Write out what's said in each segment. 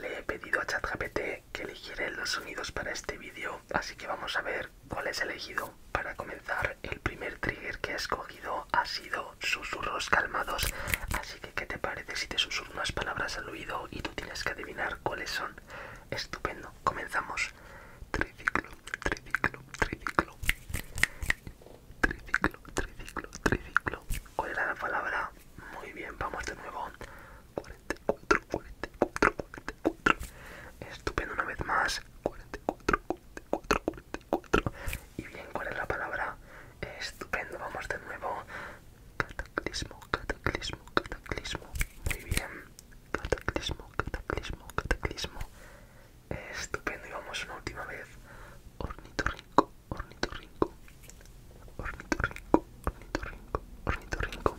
Le he pedido a ChatGPT que eligiera los sonidos para este vídeo, así que vamos a ver cuál es elegido. Para comenzar, el primer trigger que ha escogido ha sido susurros calmados, así que ¿qué te parece si te susurro unas palabras al oído y tú tienes que adivinar cuáles son? Estupendo, comenzamos. Triciclo, triciclo, triciclo. Triciclo, triciclo, triciclo. ¿Cuál era la palabra? Muy bien, vamos de nuevo. 44, 44, 44. Estupendo una vez más. 44, 44, 44. Y bien, ¿cuál es la palabra? Estupendo, vamos de nuevo. Cataclismo, cataclismo, cataclismo. Muy bien. Cataclismo, cataclismo, cataclismo. Estupendo, y vamos una última vez. rico ornitorrinco, ornitorrinco, ornitorrinco, ornitorrinco.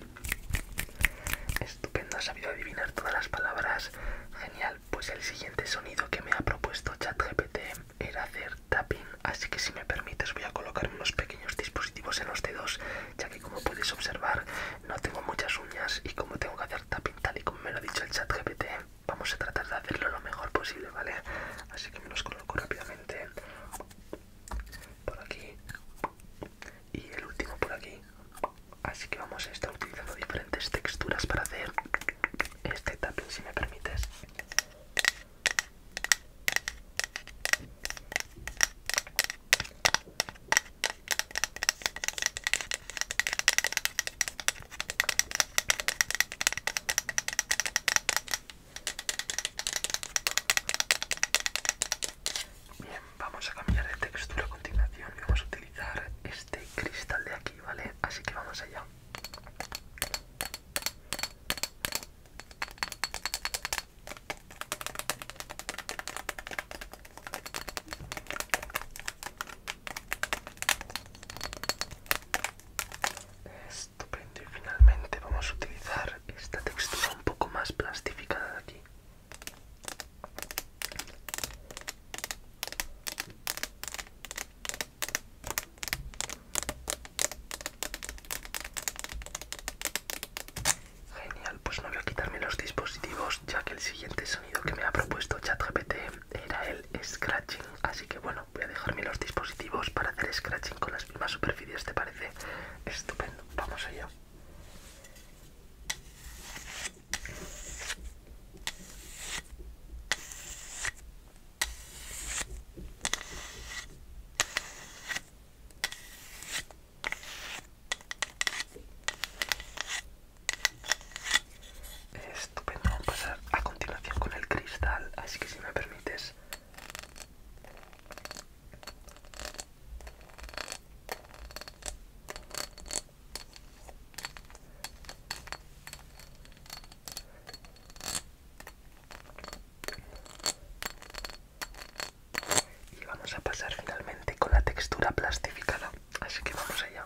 Estupendo, has sabido adivinar todas las palabras. Genial, pues el siguiente sonido que me ha propuesto ChatGPT era hacer tapping, así que si me permites voy a colocar unos pequeños dispositivos en los dedos, ya que como puedes observar no tengo muchas uñas y como tengo que hacer tapping tal y como me lo ha dicho el ChatGPT, vamos a tratar de hacerlo lo mejor posible, ¿vale? Así que me los coloco rápidamente por aquí y el último por aquí así que vamos a estar utilizando diferentes texturas para hacer este tapping si me permites Bien, vamos a cambiar de textura a continuación y vamos a utilizar este cristal de aquí, ¿vale? Así que vamos allá. Estupendo. Y finalmente vamos a utilizar esta textura un poco más plastificada de aquí. Genial, pues no voy a quitarme los dispositivos ya que el siguiente sonido que me ha propuesto ChatGPT era el scratching. Así que bueno, voy a dejarme los dispositivos para hacer scratching con las mismas superficies, ¿te parece? estupendo. Vamos allá. Estupendo, vamos a pasar a continuación con el cristal, así que si me permites y vamos a pasar finalmente con la textura plastificada, así que vamos allá.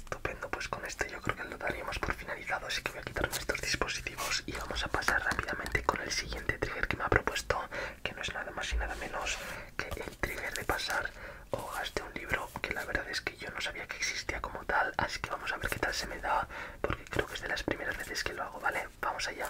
Estupendo, pues con esto yo creo que lo daríamos por finalizado, así que voy a quitar nuestros dispositivos y vamos a pasar rápidamente con el siguiente trigger que me ha propuesto, que no es nada más y nada menos que el trigger de pasar hojas de un libro, que la verdad es que yo no sabía que existía como tal, así que vamos a ver qué tal se me da, porque creo que es de las primeras veces que lo hago, ¿vale? Vamos allá.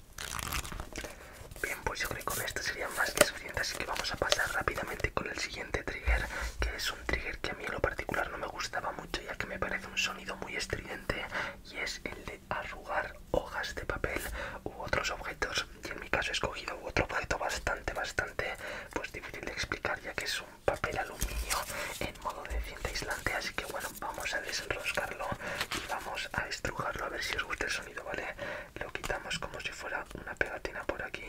Bien, pues yo con esto serían más que suficiente, así que vamos a pasar rápidamente con el siguiente trigger, que es un trigger que a mí en lo particular no me gustaba mucho, ya que me parece un sonido muy estridente, y es el de arrugar hojas de papel u otros objetos, y en mi caso he escogido otro objeto bastante, bastante, pues difícil de explicar, ya que es un papel aluminio en modo de cinta aislante, así que bueno, vamos a desenroscarlo y vamos a estrujarlo a ver si os gusta el sonido, ¿vale? Lo quitamos como si fuera una pegatina por aquí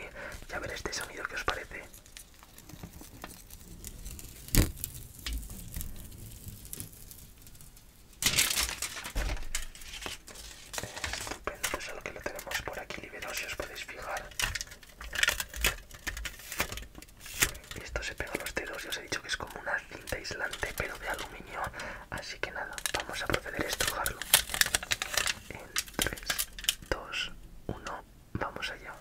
y a ver este sonido que os parece. Estupendo, pues solo que lo tenemos por aquí liberado si os podéis fijar. Esto se pega a los dedos, ya os he dicho que es como una cinta aislante pero de aluminio así que nada vamos a proceder a estrujarlo en 3 2 1 vamos allá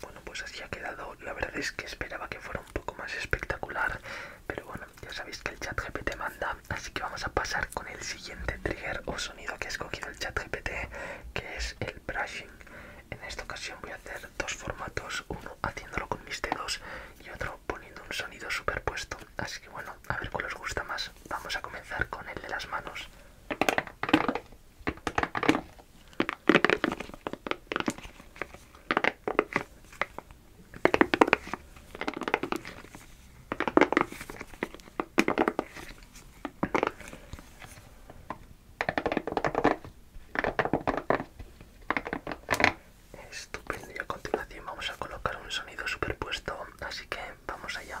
bueno, pues así ha quedado. La verdad es que esperaba que fuera un poco más espectacular, pero bueno, ya sabéis que el chat GPT manda, así que vamos a pasar con el siguiente trigger o sonido que ha escogido el chat GPT, que es el brushing. En esta ocasión voy a hacer dos formatos, uno haciéndolo con mis dedos y otro poniendo un sonido superpuesto. Así que bueno, a ver cuál os gusta más. Vamos a comenzar con el de las manos. Estupendo, y a continuación vamos a colocar un sonido superpuesto, así que vamos allá.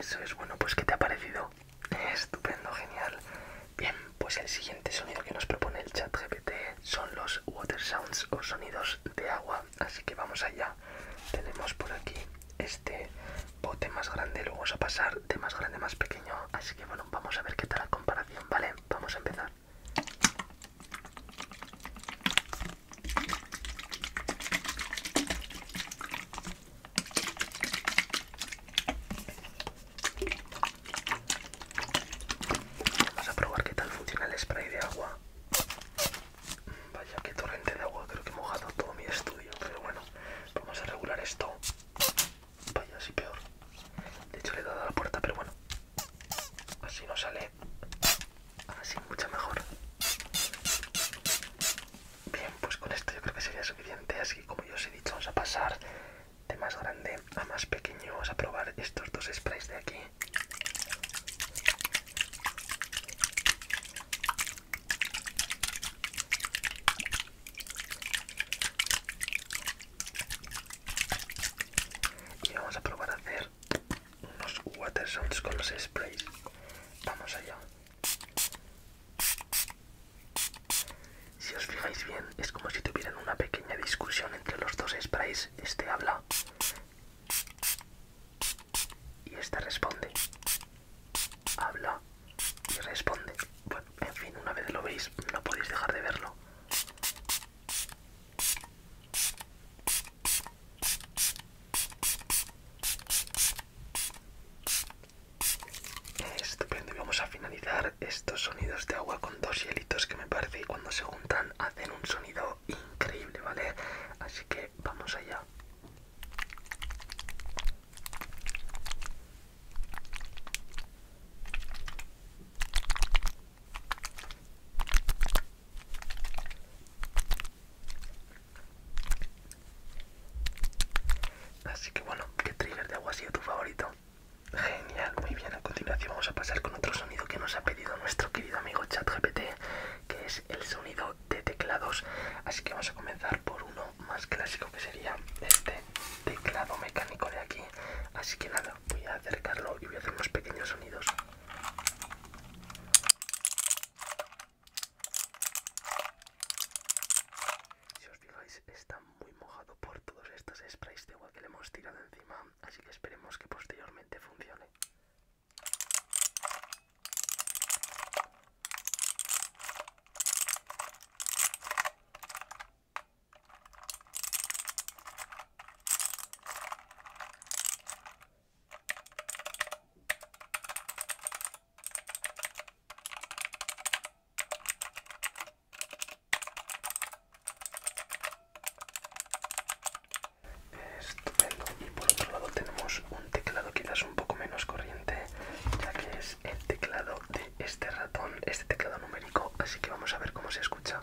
Eso es bueno, pues ¿qué te ha parecido? Estupendo, genial. Bien, pues el siguiente sonido que nos propone el chat GPT son los water sounds o sonidos de agua. Así que vamos allá. Tenemos por aquí este bote más grande, luego vamos a pasar de más grande a más pequeño. Así que bueno, vamos a ver qué tal la comparación, ¿vale? Vamos a empezar. Vamos a probar qué tal funciona el spray de agua. Vaya, qué torrente de agua, creo que he mojado todo mi estudio, pero bueno, vamos a regular esto. Vaya, sí peor. De hecho le he dado a la puerta, pero bueno, Así nos sale así mucho mejor. Bien, pues con esto yo creo que sería suficiente. Así como yo os he dicho, vamos a pasar de más grande a más pequeño. Vamos a probar estos dos sprays de aquí. Y vamos a probar a hacer unos, unos con los sprays. Vamos allá. Si os fijáis bien, es como si tuvieran una pequeña discusión entre los dos sprays. Este habla y este responde. Habla y responde. Bueno, en fin, una vez lo veis, no podéis dejar de verlo. Estupendo, y vamos a finalizar estos sonidos de agua con dos hielitos que me parece que cuando se juntan hacen un sonido increíble, ¿vale? Así que vamos allá. Así que bueno, ¿qué trigger de agua ha sido tu favorito? Genial, muy bien. A continuación vamos a pasar con otro sonido que nos ha pedido nuestro querido amigo ChatGPT, que es el sonido de teclados. Así que vamos a comenzar por uno más clásico que sería este teclado mecánico de aquí. Así que nada, voy a acercarlo y voy a hacer unos pequeños sonidos. Si os fijáis, está muy mojado por todos estos sprays de agua que le hemos tirado encima, así que esperemos que posteriormente funcione. Estupendo. Y por otro lado tenemos un teclado quizás un poco menos corriente, ya que es el teclado de este ratón, este teclado numérico, así que vamos a ver cómo se escucha.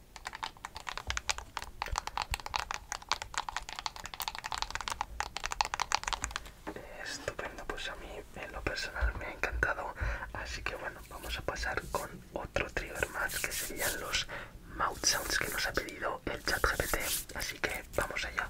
Estupendo, pues a mí en lo personal me ha encantado. Así que bueno, vamos a pasar con otro trigger más que serían los mouth sounds que nos ha pedido el chat GPT. Así que vamos allá.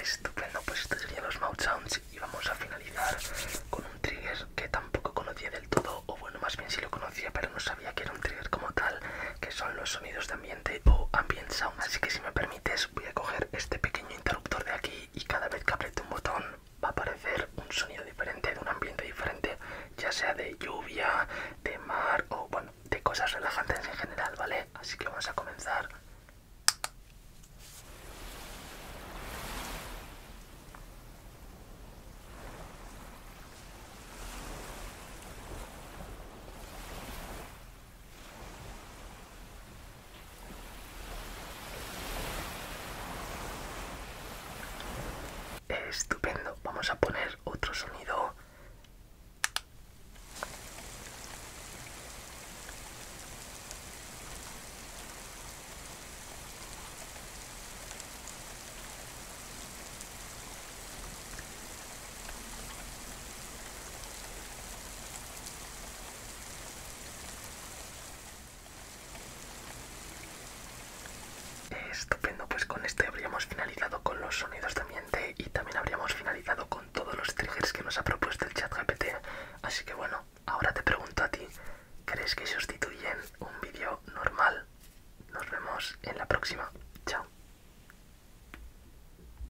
Estupendo, pues estos serían los mouse sounds y vamos a finalizar con un trigger que tampoco conocía del todo, o bueno, más bien sí lo conocía, pero no sabía que era un trigger como tal, que son los sonidos de ambiente o ambient sound. Así que si me permites voy a coger este pequeño interruptor de aquí y cada vez que apriete un botón va a aparecer un sonido diferente, de un ambiente diferente, ya sea de lluvia, de mar o bueno, de cosas relajantes en general, ¿vale? Así que vamos a comenzar. Estupendo, vamos a poner otro sonido. Estupendo, pues con este habríamos finalizado con los sonidos de ambiente y también habríamos finalizado con todos los triggers que nos ha propuesto el chat GPT. Así que bueno, ahora te pregunto a ti, ¿crees que sustituyen un vídeo normal? Nos vemos en la próxima. Chao.